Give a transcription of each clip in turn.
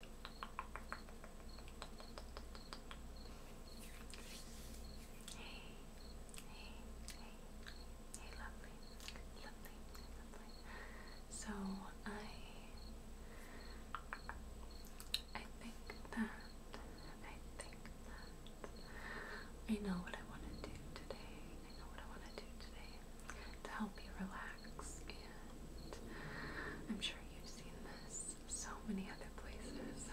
Hey, hey, hey, hey, lovely, lovely, lovely. So I, I think that, I think that I know what I want to do today. I know what I want to do today to help you relax and I'm sure you've seen this so many other places.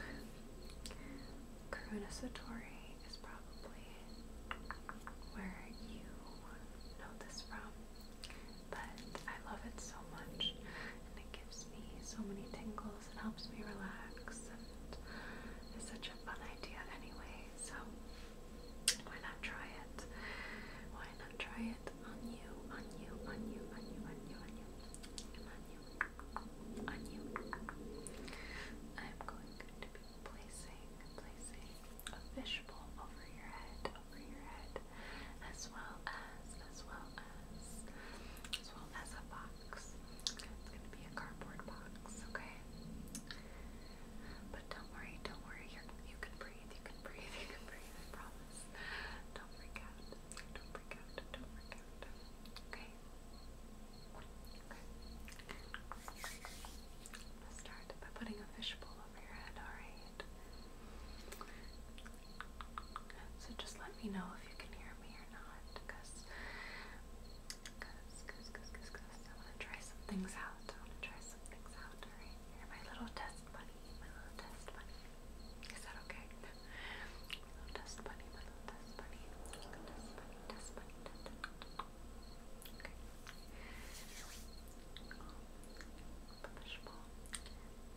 Karuna Satori is probably where you know this from, but I love it so much and it gives me so many tingles and helps me relax and it's such a fun idea anyway, so why not try it? Why not try it on you, on you, on you, on you, on you, on you, on you, on you? I'm going to be placing, placing a fishbowl over your head, over your head, as well as, as well as, as well as a box. It's gonna be a cardboard box, okay? But don't worry, don't worry. You're, you can breathe you can breathe, you can breathe, I promise. Don't freak out. Don't freak out. Don't freak out. Okay. I'm gonna start by putting a fishbowl over your head, alright? So just let me know if you can hear me or not, because cause, cause, cause, cause, cause I want try some things out. I want try some things out, alright? my little test bunny, my little test bunny. Is that okay? my little test bunny, my little test bunny. Test bunny, test bunny, test bunny. Okay. fishbowl,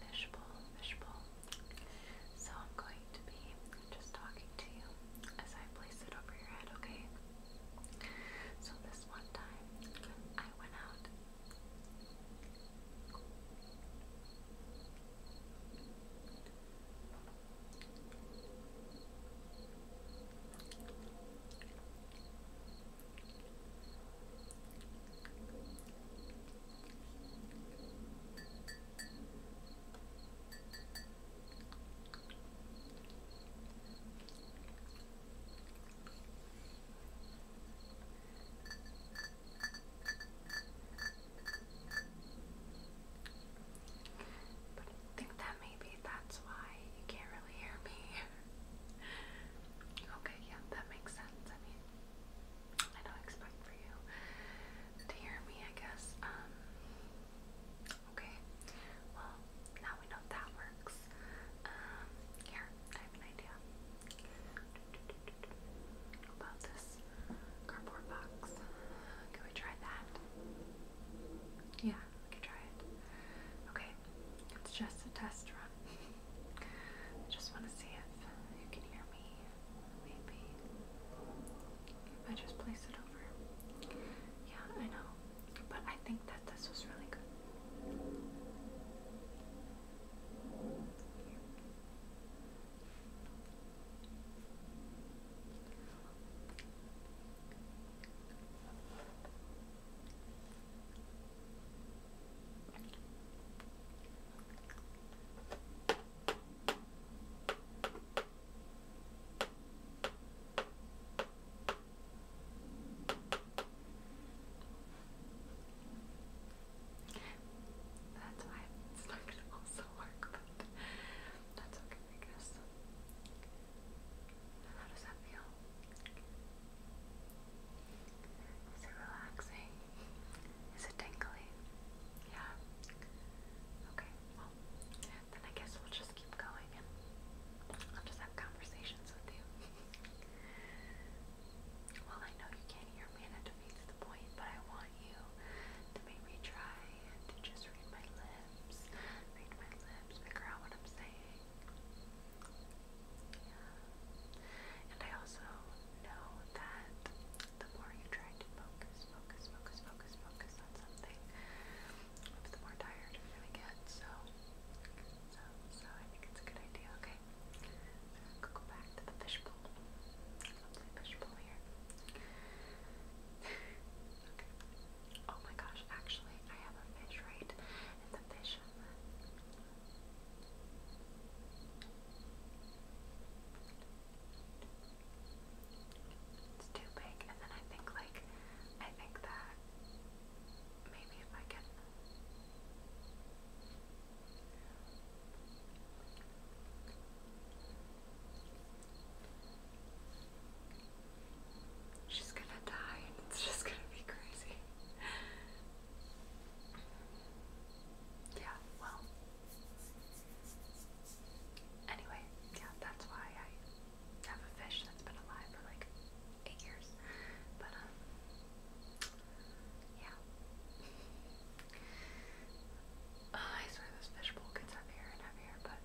fishbowl, fishbowl. So I'm going to be just talking to you as I place it over your head, okay? So this one time I went out I think that maybe that's why you can't really hear me. okay, yeah, that makes sense. I mean, I don't expect for you to hear me, I guess. Um, Okay, well, now we know that works. Um, here, I have an idea about this cardboard box. Can we try that? Yeah, we can try it. Okay, it's just a test run. I just want to see if you can hear me. Maybe if I just place it over. Yeah, I know. But I think that this was really good. That's why it's not going to also work, but that's okay, I guess. And how does that feel? Is it relaxing? Is it tingly? Yeah? Okay, well, then I guess we'll just keep going and I'll just have conversations with you. well, I know you can't hear me and it defeats the point, but I want you to make try to just read my lips, read my lips, figure out what I'm saying. And I also know that the more you try to focus, focus, focus, focus, focus on something, the more tired you're get. So, so, so I think it's a good idea. Okay, go back to the fishbowl. Lovely fishbowl here. okay. Oh my gosh! Actually, I have a fish right, and the fish. It's too big, and then I think like I think that maybe if I can She's gonna die and it's just gonna be crazy. Yeah, well, Anyway, yeah, that's why I have a fish that's been alive for like eight years. But, um, yeah. Uh, I swear this fishbowl gets heavier and heavier, but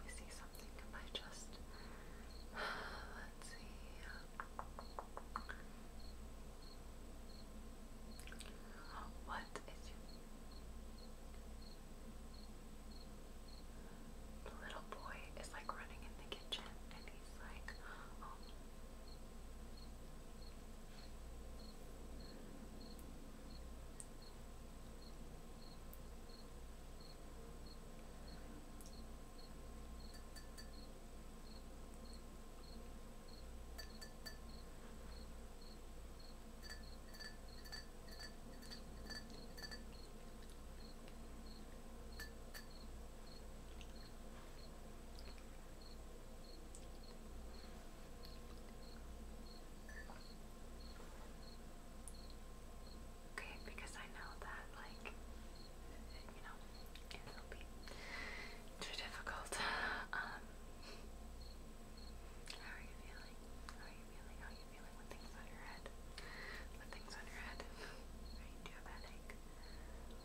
let see something in my chest. Let's see. Um, what is you? the little boy is like running in the kitchen and he's like um, Okay, because I know that like you it'll be too difficult. Um, how are you feeling? How are you feeling? How are you feeling with things on your head? With things on your head? do you have headache?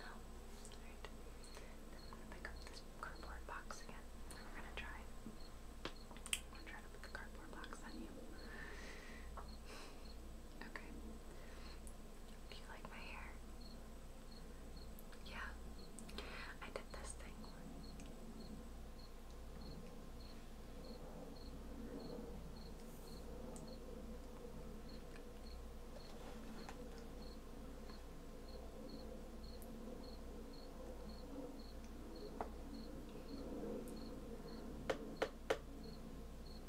No? Then I'm gonna pick up this cardboard box again. We're gonna try. I'm gonna try to put the cardboard box on you. Okay. Do you like my hair? Yeah, I did this thing.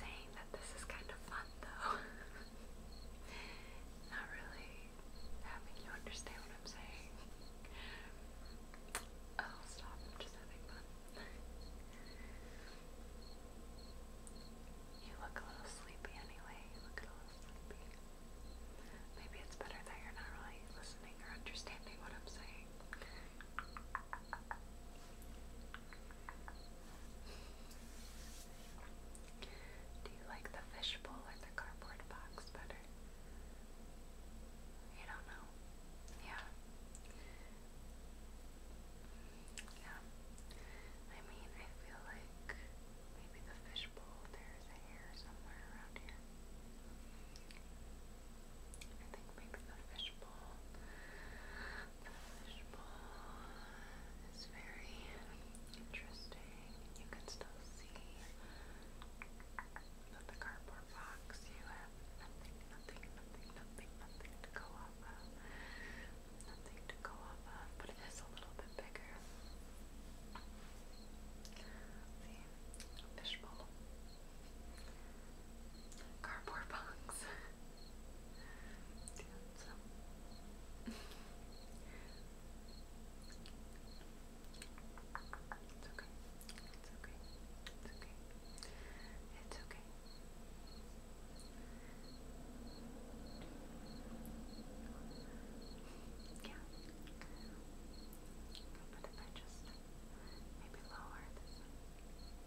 Saying that this is kind of fun though. Not really having you understand what I'm saying. Oh, stop, I'm just having fun. You look a little sleepy anyway. Maybe it's better that you're not really listening or understanding what I'm saying. Do you like the fishbowl or the cardboard box better? You don't know. Yeah. Yeah. I mean, I feel like maybe the fishbowl, there's a hair somewhere around here. I think maybe the fishbowl, the fishbowl is very interesting. You can still see that the cardboard a fox, you have nothing, nothing, nothing, nothing, to go off of. Nothing to go off of, but it is a little bit bigger. See, fishbowl. Cardboard box. Dude, it's okay. It's okay. It's okay. It's okay. Yeah. But if I just maybe lower this one. Okay.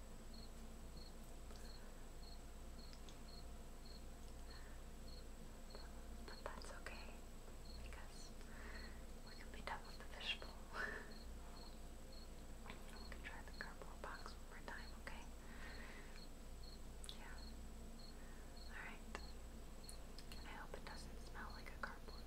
But that's okay because we can be done with the fishbowl. we can try the cardboard box one more time, okay? Yeah. Alright. I hope it doesn't smell like a cardboard.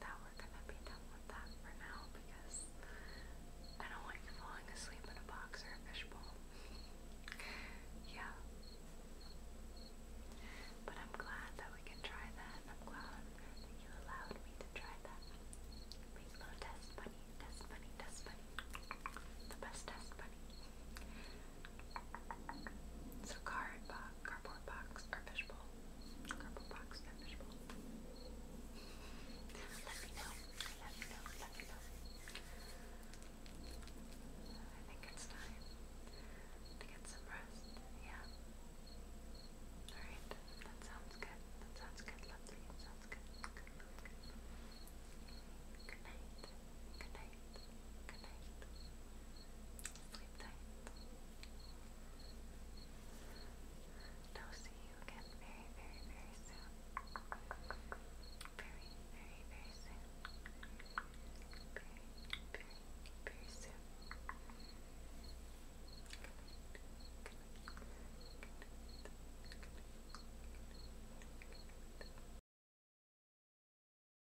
that we're gonna be done with that for now because I don't like falling asleep in a box or a fishbowl. yeah. But I'm glad that we can try that I'm glad that you allowed me to try that. Please go uh, cardboard, cardboard cardboard box or fishbowl. Cardboard box or fishbowl. let me know. Let me know. Let me know. I think it's time to get some rest. Yeah. Alright. That sounds good. That sounds good. Sounds good. Good night. Good night. Good night. Sleep I'll see you again very, very, very soon. Very, very, very soon. Very, very, very soon.